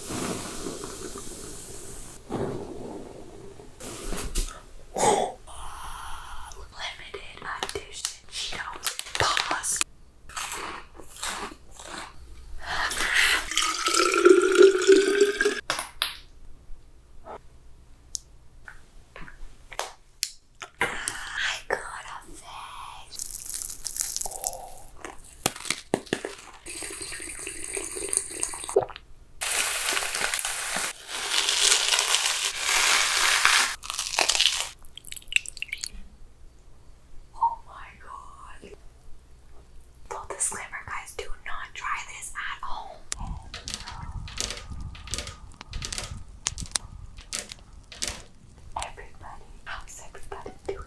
Limited edition Pause. I got a face. Oh my god. Full disclaimer, guys, do not try this at home. Everybody, how's everybody today.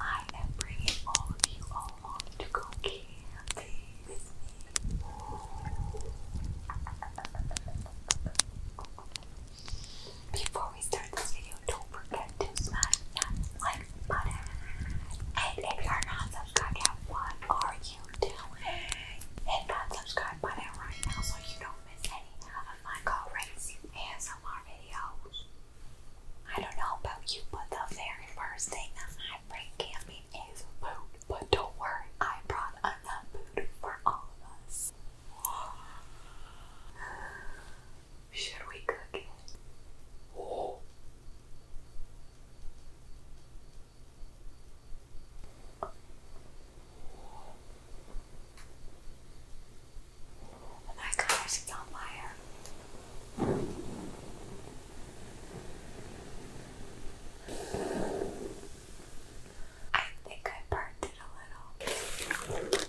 I am bringing all of you along to go camping with me. Before we start this video, don't forget to smash that like button. And if you're not subscribed what are you doing? Hit that subscribe button right now so you don't miss any of my crazy ASMR videos. I don't know about you, but the very first thing that I bring camping is food. But don't worry, I brought enough food for all of us. Should we cook it? Oh my god, it's on fire. I think I burned it a little.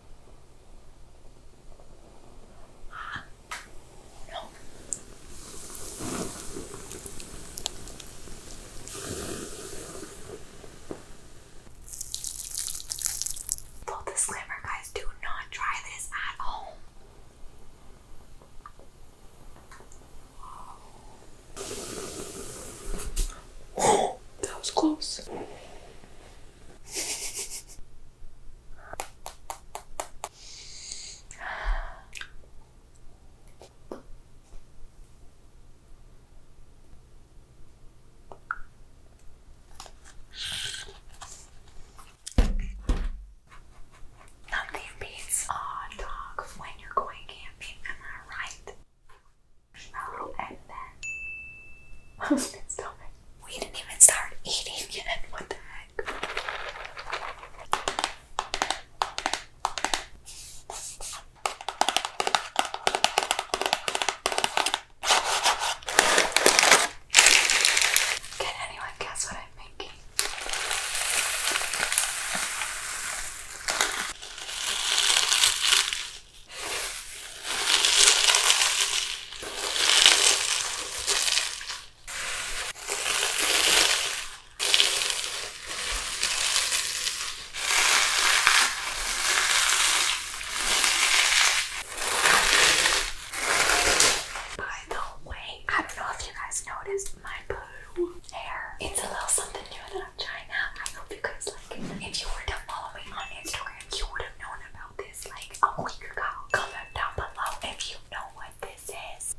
Full disclaimer, guys, do not try this at home. that was close. Nothing beats a dog when you're going camping, am I right? Smell oh, and then. We didn't even start eating yet. What the heck? Can anyone guess what I'm making? By the way, I don't know if you guys noticed my blue hair. It's a little something new that I'm trying out. I hope you guys like it. If you were to follow me on Instagram, you would have known about this like a week ago. Comment down below if you know what this is.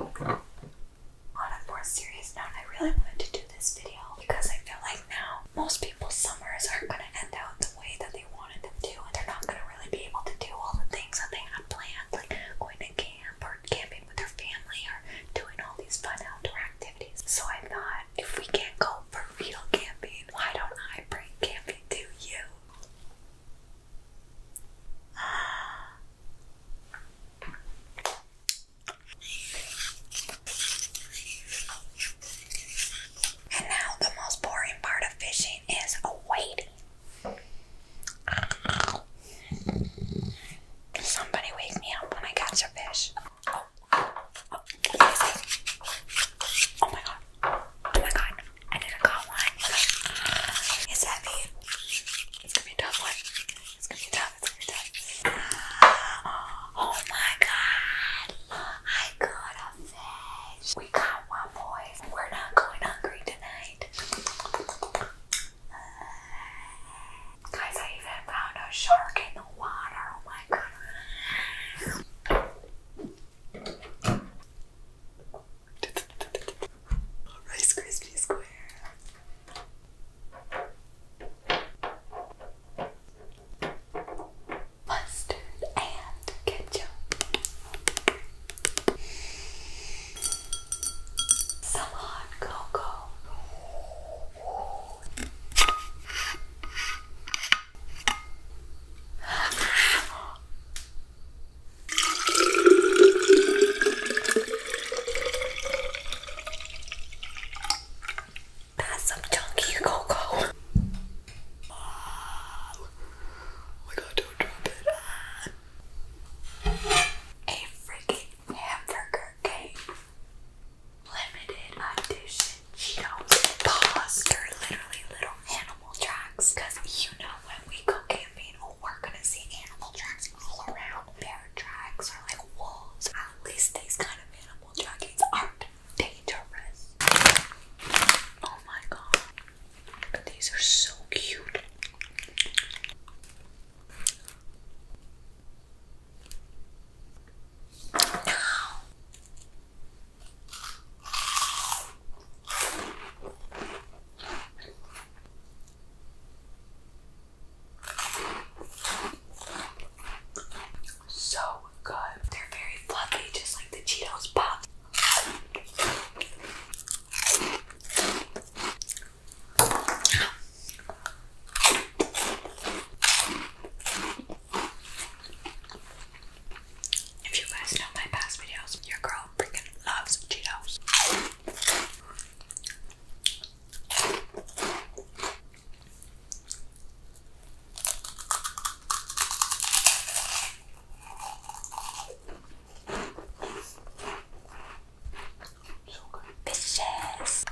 On a more serious note, I really wanted to do this video because I feel like now most people's summers aren't going to end out the way that they wanted them to, and they're not going to really be able to do all the things that they had planned, like going to camp or camping with their family or doing all these fun outdoor activities. So I thought if we can't go for real camping, why don't I bring Campy to you? And now the most boring part of fishing is waiting. Somebody wake me up when I catch a fish. Oh, Oh my god. Oh my god. I didn't got one. It's heavy. It's gonna be a tough one. It's gonna be tough. It's gonna be tough. Ah, oh my god. I got We got one, boys. We're not going hungry tonight. Guys, I even found a shark in the water. Oh my god. Rice Krispie Square. Mustard and ketchup. Some cocoa. That's some chunky cocoa. Oh my god, don't drop it. A freaking hamburger cake. Limited edition. She goes are literally little animal tracks. Cause you know when we go camping, we're gonna see animal tracks all around. Bear tracks or like wolves. At least these kind of animal trackings aren't dangerous. Oh my god. These are so cute. So good. They're very fluffy, just like the Cheetos Pop. If you guys know my past videos, your girl freaking loves Cheetos. So good. Vicious.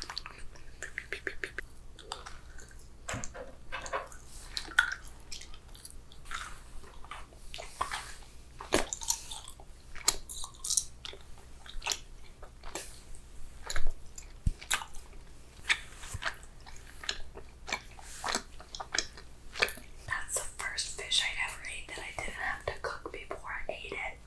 That's the first fish I ever ate that I didn't have to cook before I ate it.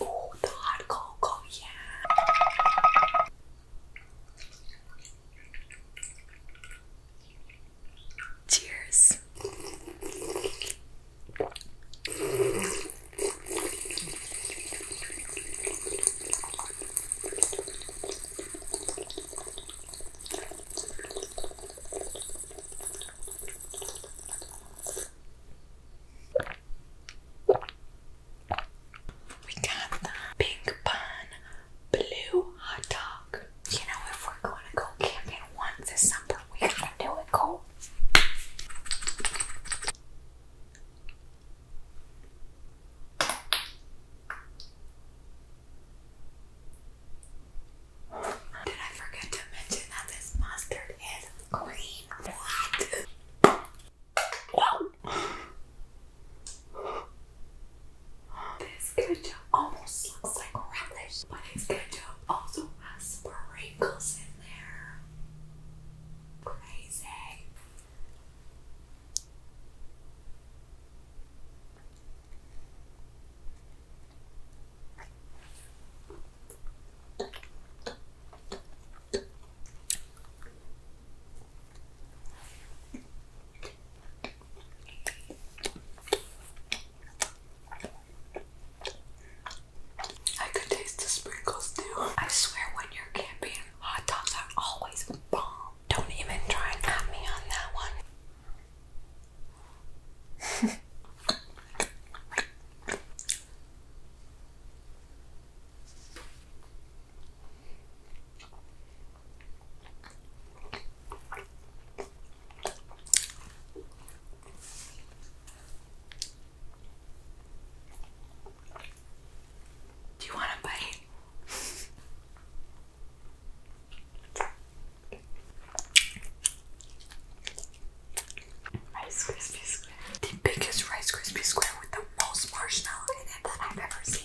Oh, the hot cocoa, yeah. Cheers. We got the pink bun blue hot dog. You know, if we're going to go camping once this summer, we gotta do it cold. Did I forget to mention that this mustard is green? What? This ketchup almost looks like relish, but this ketchup also has sprinkles in there. Crazy. I could taste the sprinkles too. I swear when you're camping, hot dogs are always bomb. Don't even try and at me on that one. Do you want a bite? Rice Krispie Square. The biggest Rice Krispie Square with the most marshmallow in it that I've ever seen.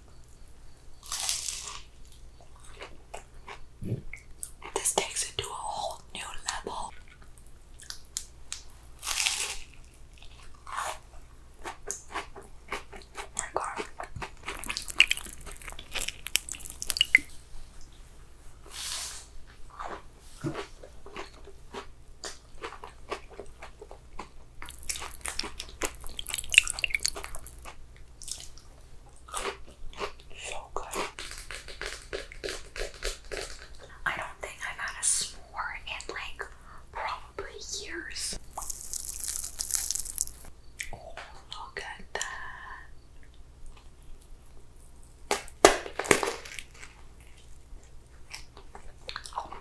This takes it to a whole new level. my God. So good. I don't think I've had a s'more in like probably years. Oh, look at that. Oh,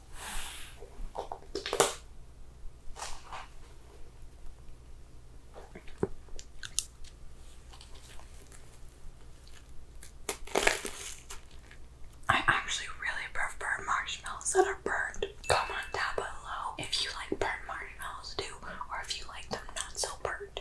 I actually really prefer marshmallows that are burned. on, down below if you like burnt marshmallows do, or if you like them not so burnt.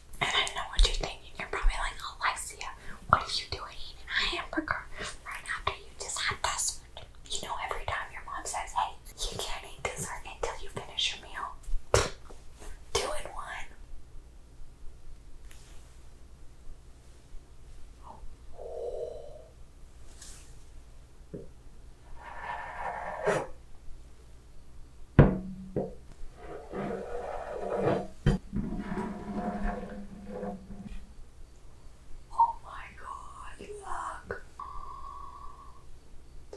And I know what you're thinking. You're probably like, Alexia, oh, what are you doing eating a hamburger right after you just had dessert? You know, every time your mom says, hey, you can't eat dessert until you finish your meal. Two in one. Oh my god, look!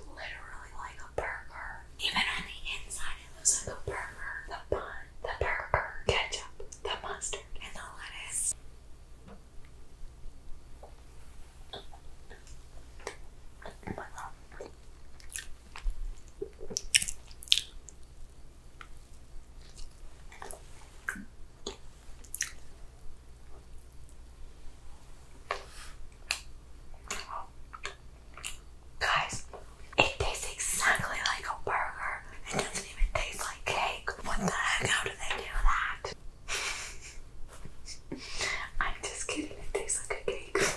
Literally like a burger. Even on the inside, it looks like a burger. The bun, the burger, ketchup, the mustard, and the lettuce. Oh my god. Guys, it tastes exactly like a burger. It doesn't even taste like cake. What the heck? How do they do that? I'm just kidding, it tastes like a cake.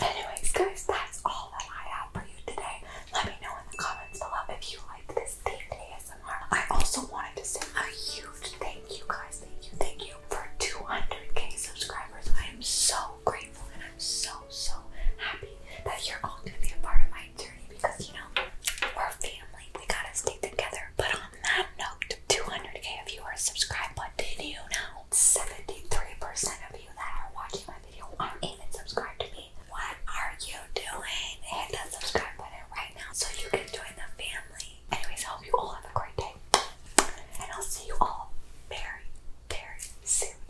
Anyways, guys, that's all that I have for you today. Let me know in the comments below if you liked this themed ASMR. also wanted to say a huge thank you, guys. Thank you, thank you for 200k subscribers. I am so grateful and I'm so, so happy that you're all going to be a part of my because you know we're family. We gotta stay together. But on that note, 200k of you are subscribed. But did you know 73% of you that are watching my video aren't even subscribed to me? What are you doing? Hit that subscribe button right now so you can join the family. Anyways, I hope you all have a great day, and I'll see you all very, very soon.